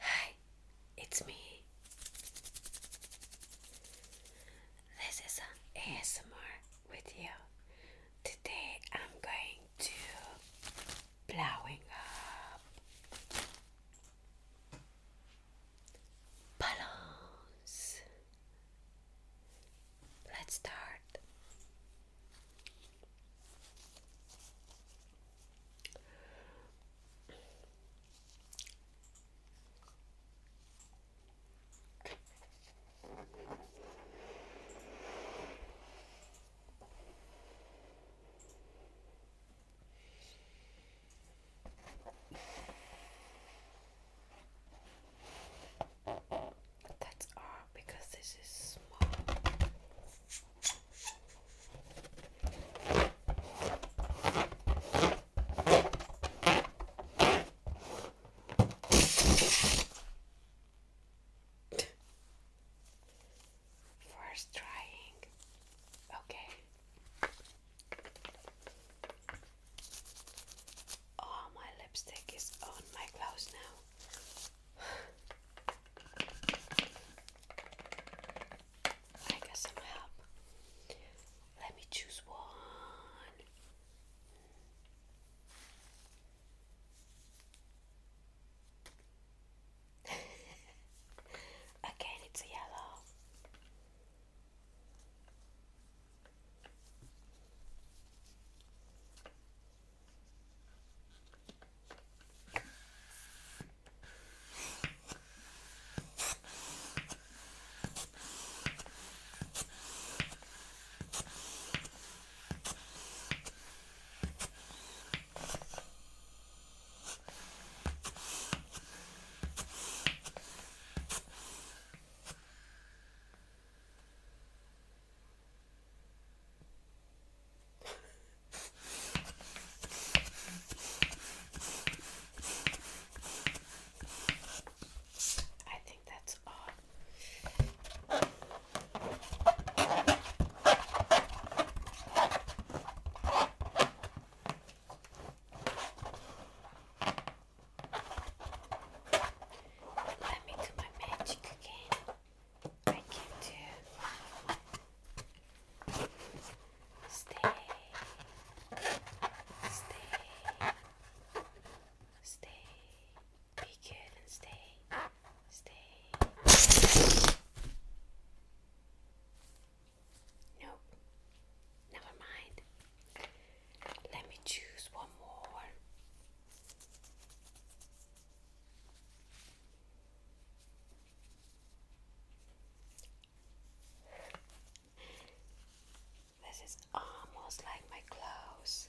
Hi, it's me. This is an ASMR you. Today I'm going to blowing up. Balance. Let's start. That's all because this is small first trying. Okay. Oh, my lipstick is on my clothes now. I got some help. Let me choose one. Again, it's yellow. I think that's all. Let me do my magic again. I can do stay, stay, stay. Stay, be good and stay. Stay. Nope. Never mind. Let me choose one more. This is almost like my clothes.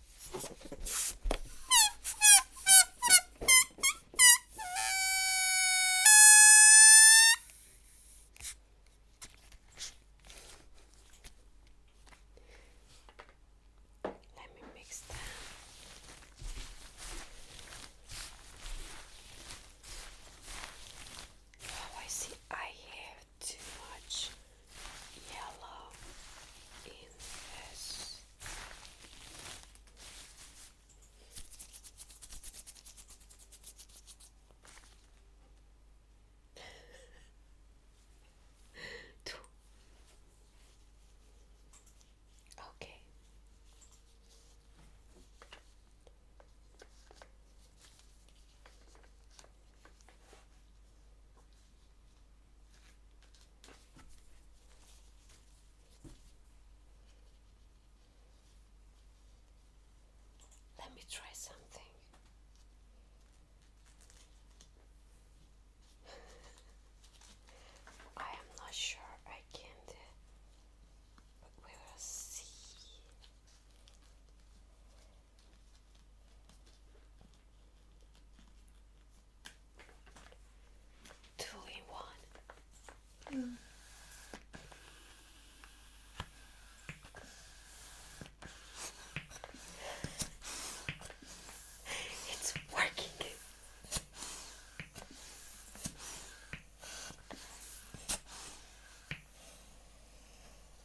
Let me mix them. Oh, I see. I have too much yellow in this. okay. Let me try something. I am not sure I can but we will see. Two in one. It's working.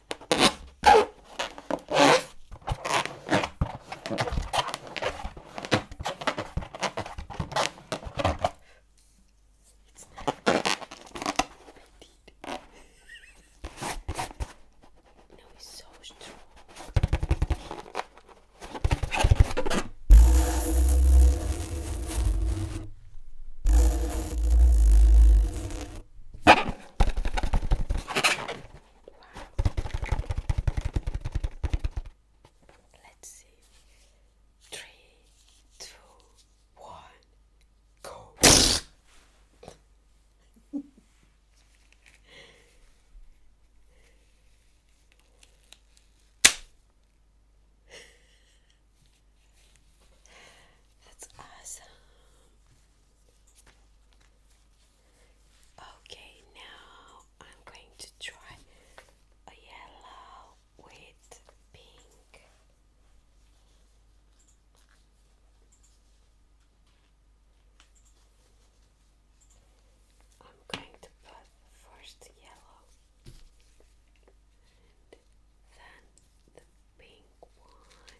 It's not petite. no, he's so strong. Let's see. Three, two, one, go. That's awesome. Okay, now I'm going to try a yellow with pink. I'm going to put first yellow and then the pink one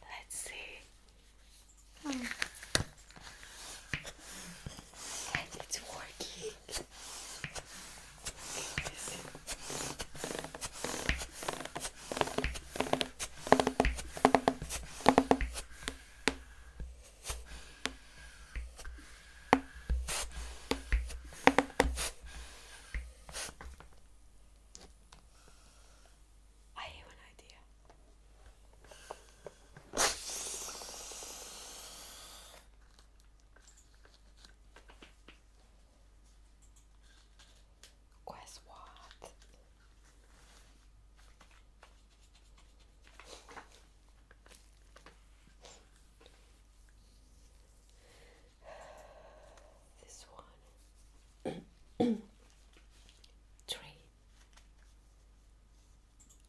Let's see. Hmm. And it's working. I have an idea. Guess what? this one one, three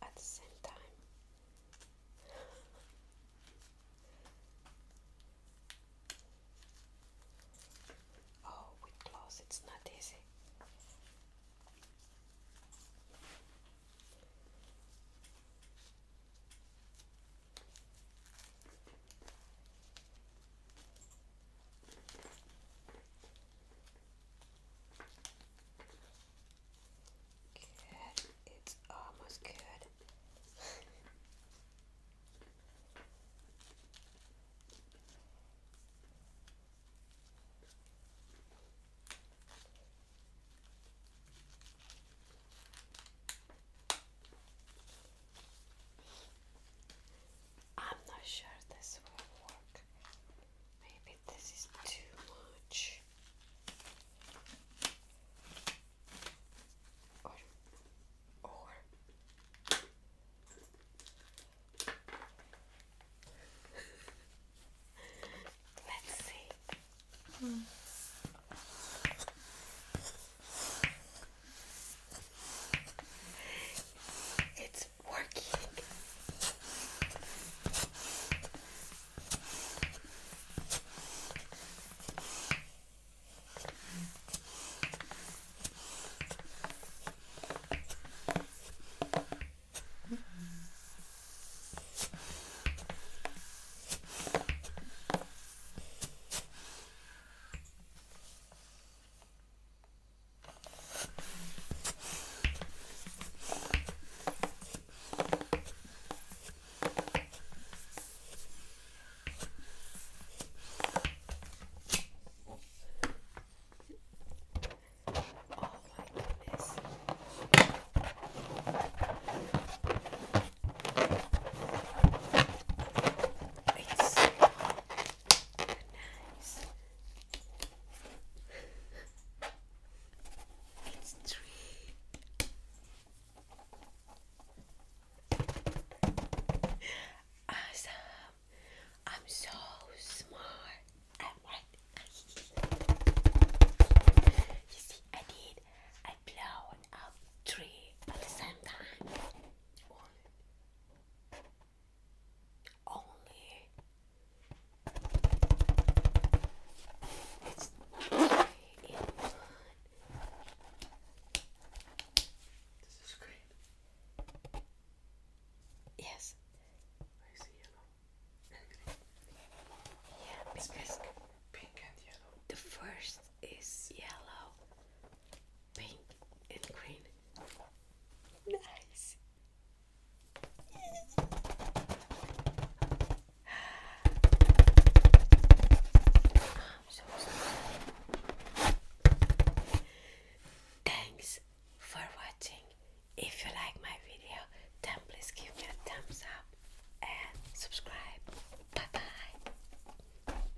at the same time. Oh, with clothes it's not easy. It's almost good. I'm not sure this will work. Maybe this is too much. Or, or let's see. Hmm. It's working. Oh my goodness. It's nice. it's three. Awesome. I'm so smart. I'm right. you see, I did. I blown up three at the same time only it's not in This is green. Yes. I see yellow and green. Yeah, because pink and yellow. The first is yellow pink and green. Nice. Thanks for watching. If you like my video, then please give me a thumbs up and subscribe. Bye bye.